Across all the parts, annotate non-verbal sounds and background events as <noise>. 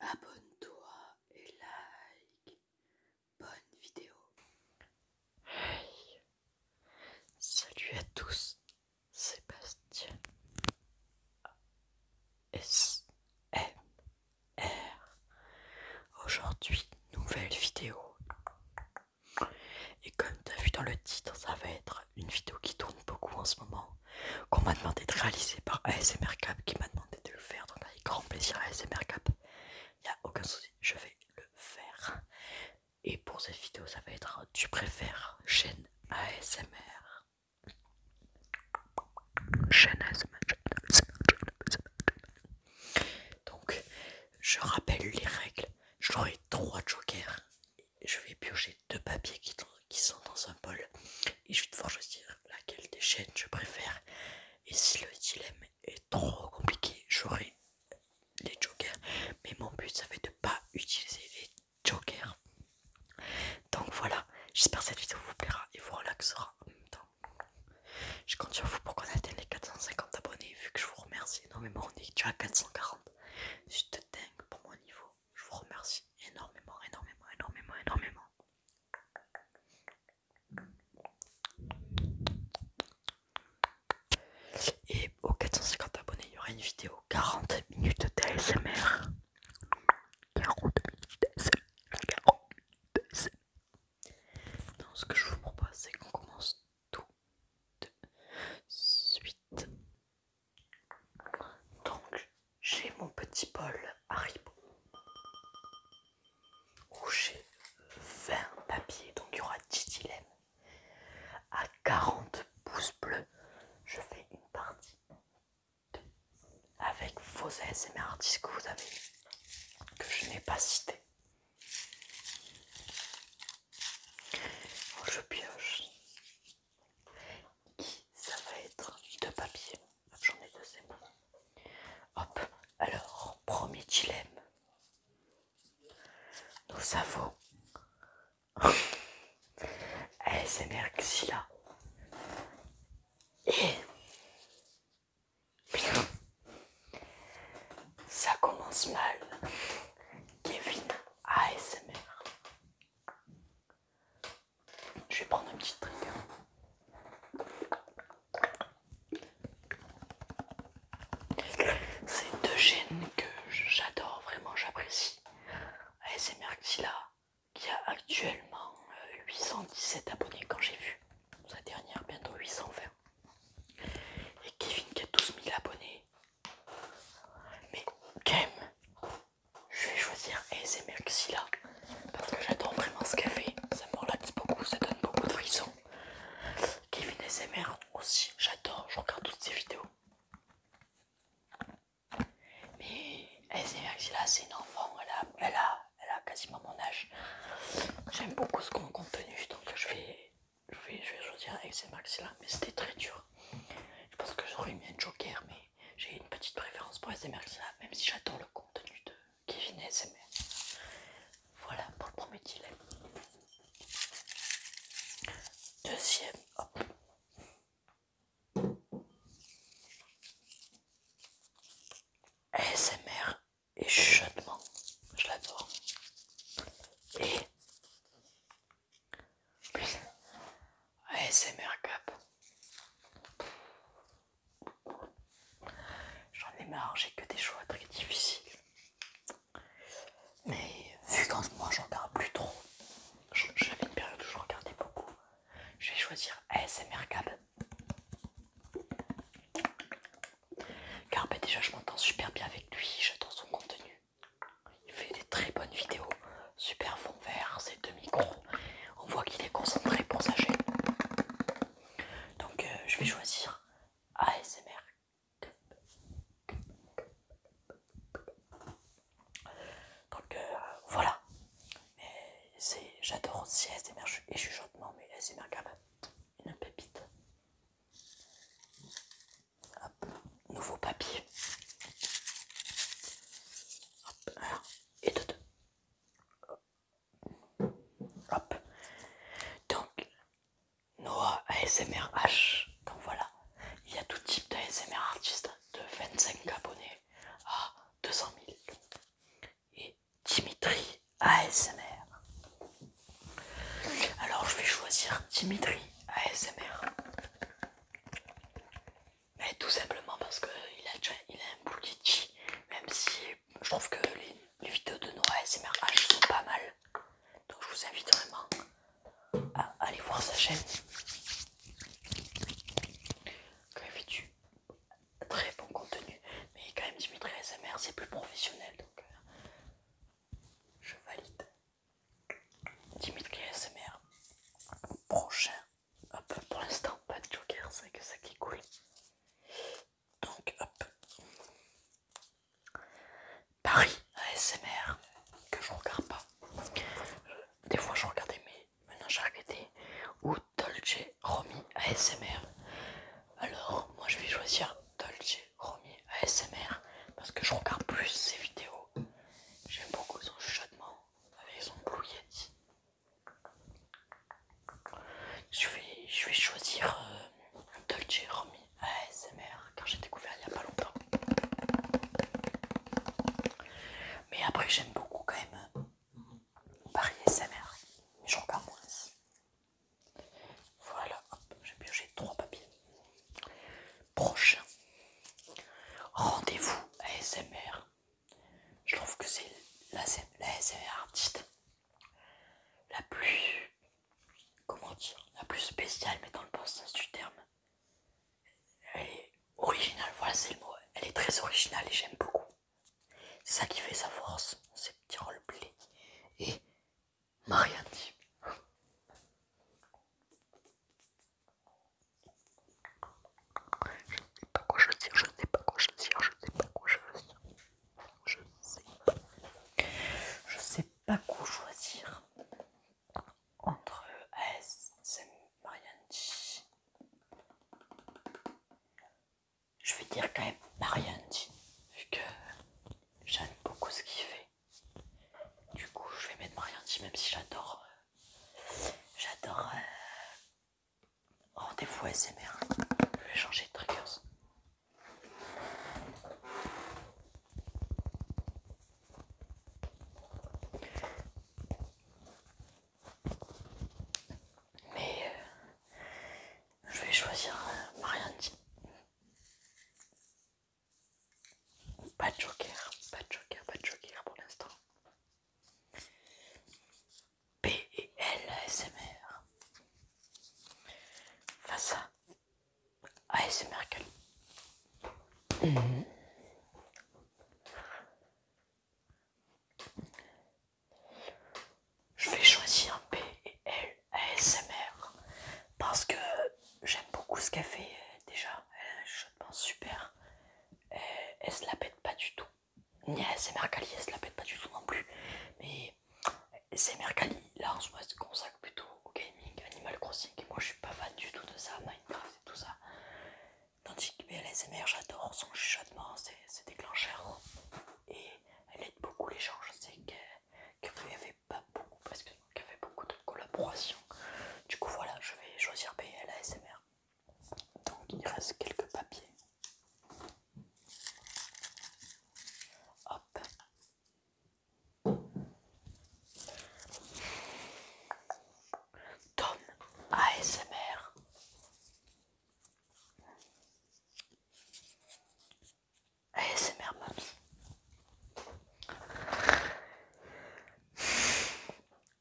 Abonne-toi et like. Bonne vidéo. salut à tous, Sébastien. S R. Aujourd'hui, nouvelle vidéo. Et comme tu as vu dans le titre, ça va être une vidéo qui tourne beaucoup en ce moment qu'on m'a demandé de réaliser par ASMR Cap, qui m'a demandé de le faire, donc avec grand plaisir ASMR Cap, il n'y a aucun souci, je vais le faire. Et pour cette vidéo, ça va être tu préfères chaîne ASMR. Chaîne ASMR, donc je rappelle les règles, j'aurai trois jokers, je vais piocher de papiers qui, sont dans un bol et je vais devoir choisir laquelle des chaînes je préfère. Et si le dilemme est trop compliqué, j'aurai les jokers. Mais mon but, ça fait de pas utiliser les jokers. Donc voilà, j'espère que cette vidéo vous plaira et vous relaxera en même temps. Je compte sur vous pour qu'on atteigne les 450 abonnés vu que je vous remercie énormément. On est déjà à 440. C'est dingue pour mon niveau. Je vous remercie énormément, énormément, énormément, énormément. Et aux 450 abonnés, il y aura une vidéo 40 minutes d'ASMR. 40 minutes d'ASMR. 40 minutes ce que je vous propose, c'est qu'on commence tout de suite. Donc j'ai mon petit bol Haribo où j'ai 20 papiers, donc il y aura 10 dilemmes. À 40 pouces bleus, je fais une partie avec vos mes artistes que vous avez, que je n'ai pas cité. Oh, je pioche ça va être de papier. J'en ai deux, c'est Hop, alors, premier dilemme. Nous <laughs> avons ASMR Xilla et ça commence mal. Kevin ASMR je vais prendre un petit drink. Hein. C'est deux chaînes que j'adore vraiment, j'apprécie. c'est mercilla qui a actuellement 817 euh, abonnés quand j'ai vu sa dernière, bientôt 820. Et Kevin qui a 12 000 abonnés mais quand je vais choisir ASMR parce que j'adore vraiment ce qu'elle fait. Ça me relaxe beaucoup, ça donne beaucoup de frissons. Kevin ASMR aussi, j'adore, je regarde toutes ses vidéos. Mais ASMR c'est une enfant, elle a, elle a quasiment mon âge. J'aime beaucoup ce qu'on contenu donc je vais je vais, choisir avec là, mais c'était très dur. Je pense que j'aurais aimé un joker, mais j'ai une petite préférence pour SMR là, même si j'adore le contenu de Kevin SMR. Voilà pour le premier dilemme. Deuxième, hop. SMR et je l'adore. Et ASMR cup. J'en ai marre, j'ai que des choix très difficiles. Mais vu qu'en ce moment j'en regarde plus trop, j'avais une période où je regardais beaucoup. Je vais choisir ASMR cup. Car bah, déjà je m'entends super bien avec lui, j'adore son contenu. Il fait des très bonnes vidéos. Super fond vert, c'est deux micros. On voit qu'il est concentré pour sa Donc euh, je vais choisir ASMR. Donc euh, voilà. J'adore aussi ASMR et chuchotement, mais ASMR Cup, une pépite. Hop, nouveau papier. Hop, et de deux. Hop. Donc, Noah ASMR H, Donc voilà, il y a tout type d'ASMR artiste, de 25 abonnés à 200 000. Et Dimitri ASMR. Alors je vais choisir Dimitri ASMR. Mais tout simplement parce qu'il a, déjà, il a un même si je trouve que les, vidéos de nos ASMR sont pas mal. Donc je vous invite vraiment à aller voir sa chaîne. Quand fait très bon contenu. Mais quand même Dimitri ASMR c'est plus professionnel. Donc euh, je valide. Dimitri ASMR, Prochain. Hop, pour l'instant, pas de joker, c'est que ça qui coule, Donc, hop. Paris ASMR, que je regarde pas. Euh, des fois, je regardais, mais maintenant j'ai arrêté. Ou Dolce Romy ASMR. Alors, moi je vais choisir Dolce Romy ASMR parce que je regarde plus ses vidéos. J'aime beaucoup son chuchotement avec son Blue Yeti. Je vais, choisir euh, un Dolce Romy ASMR car j'ai découvert il n'y a pas longtemps. Mais après j'aime beaucoup quand même euh, Paris ASMR. Mais je regarde moins. Voilà, hop, j'ai pioché trois papiers. Prochain. Rendez-vous ASMR. Je trouve que c'est la, la ASMR artiste la plus... Comment dire La plus spéciale, mais dans le bon sens du terme. Elle est originale, voilà c'est le mot. Elle est très originale et j'aime beaucoup. C'est ça qui fait sa force, ces petits roleplays. Et Marianne, Je ne sais pas quoi choisir, je ne sais pas quoi choisir, je ne sais pas quoi choisir. Je ne sais pas. Je sais pas quoi choisir entre AS, Marianne je vais dire quand même Marianne, vu que j'aime beaucoup ce qu'il fait. Du coup, je vais mettre Marianne, même si j'adore. Euh, j'adore des euh, rendez-vous SMR. Je vais changer de triggers. Mais euh, je vais choisir un euh, Pas de joker, pas de joker, pas de joker pour l'instant. P et L ASMR. Face à ASMR Calme. Merkel. Mhm. Je vais choisir P et parce que j'aime beaucoup ce qu'elle euh, fait déjà. un euh, chuchotement super. Euh, elle, se la pète pas du tout. Ni ASMR Kali, elle se la pète pas du tout non plus. Mais ASMR Kali, là en ce moment, se consacre plutôt au gaming, Animal Crossing. Et moi je suis pas fan du tout de ça, Minecraft et tout ça. Tandis que BLSMR, j'adore son chuchotement, c'est déclencheur et elle aide beaucoup les gens. Je sais que, y avait pas beaucoup, parce que y avait beaucoup de collaboration Du coup, voilà, je vais choisir payer l'ASMR Donc, il reste quelques papiers. Hop. Tom ASMR. ASMR Maps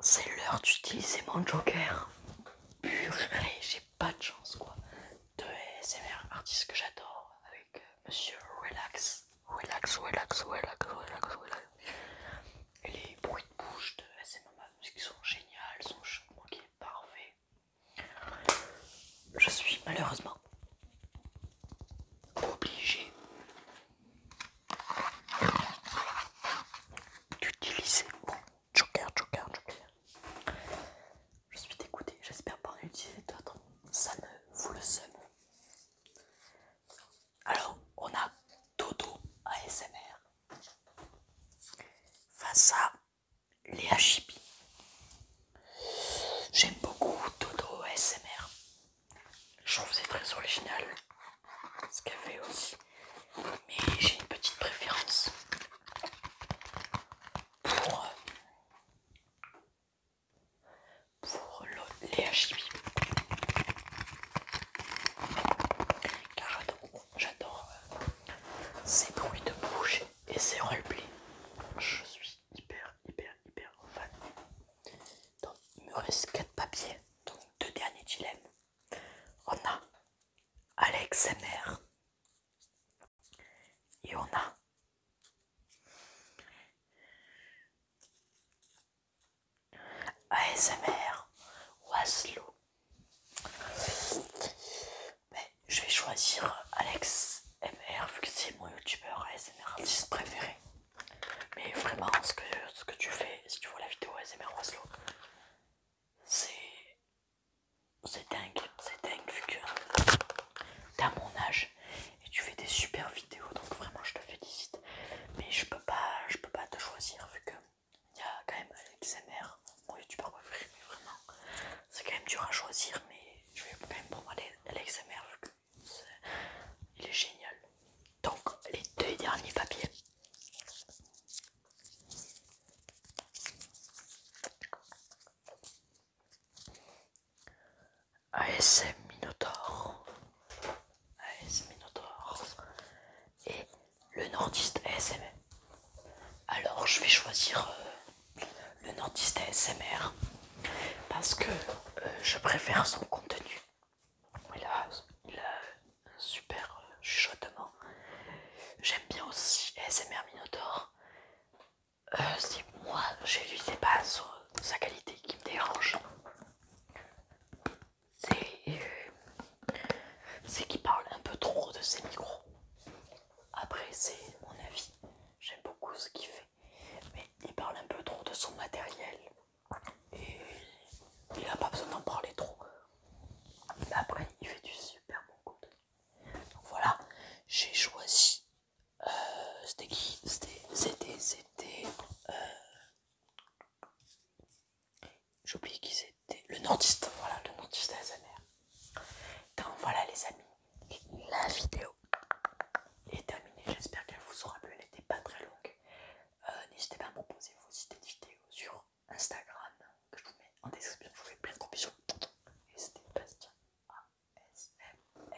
C'est l'heure d'utiliser mon joker. Purée, j'ai pas de chance quoi. De ASMR, artiste que j'adore, avec euh, Monsieur Relax. Relax, relax, relax, relax, relax. Et les bruits de bouche de ASMR Maps qui sont géniales, sont chauds, parfait. Je suis malheureusement obligée d'utiliser mon joker, joker, joker. Je suis dégoûté, j'espère pas en utiliser d'autres. Ça ne vous le seum. Alors, on a Dodo ASMR face à les Hachibi. J'aime beaucoup Dodo S.M.R Je trouve c'est très original ce qu'elle fait aussi. Mais j'ai une petite préférence pour, euh, pour les J'adore ces bruits de bouger, et ces roleplays. Je suis hyper, hyper, hyper fan. Donc, il me reste 4 papiers. Donc, deux derniers dilemmes. On a Alex MR et on a ASMR Waslow je vais choisir Alex MR vu que c'est mon youtubeur ASMR artiste préféré. Mais vraiment, ce que, tu fais, si tu vois la vidéo ASMR Waslo, c'est. C'est dingue, c'est dingue vu que euh, mon âge et tu fais des super vidéos donc vraiment je te félicite mais je peux pas je peux pas te choisir vu que il y a quand même l'XMR, mon youtubeur préféré, mais vraiment, c'est quand même dur à choisir, mais je vais quand même prendre l'XMR vu qu'il est, est génial. Donc, les deux derniers papiers. ASM Minotaur Minotaur et le nordiste ASMR. Alors je vais choisir euh, le nordiste ASMR parce que euh, je préfère son contenu. Il a, un super euh, chuchotement. J'aime bien aussi ASMR Minotaur. Si moi, je lui sais pas sa qualité qui me dérange c'est qu'il parle un peu trop de ses micros. Après, c'est mon avis. J'aime beaucoup ce qu'il fait. Mais il parle un peu trop de son matériel. Et il n'a pas besoin d'en parler trop. après, il fait du super bon contenu. voilà, j'ai choisi. Euh, c'était qui C'était. C'était. C'était. Euh, j'ai qu'ils qui c'était. Le nordiste, voilà, le nordiste ASMR. Donc voilà les amis, la vidéo est terminée. J'espère qu'elle vous aura plu, elle n'était pas très longue. Euh, n'hésitez pas à me proposer vos idées de vidéos sur Instagram, que je vous mets en description. Je vous fais plein de gros bisous. Et c'était Bastien ASMR.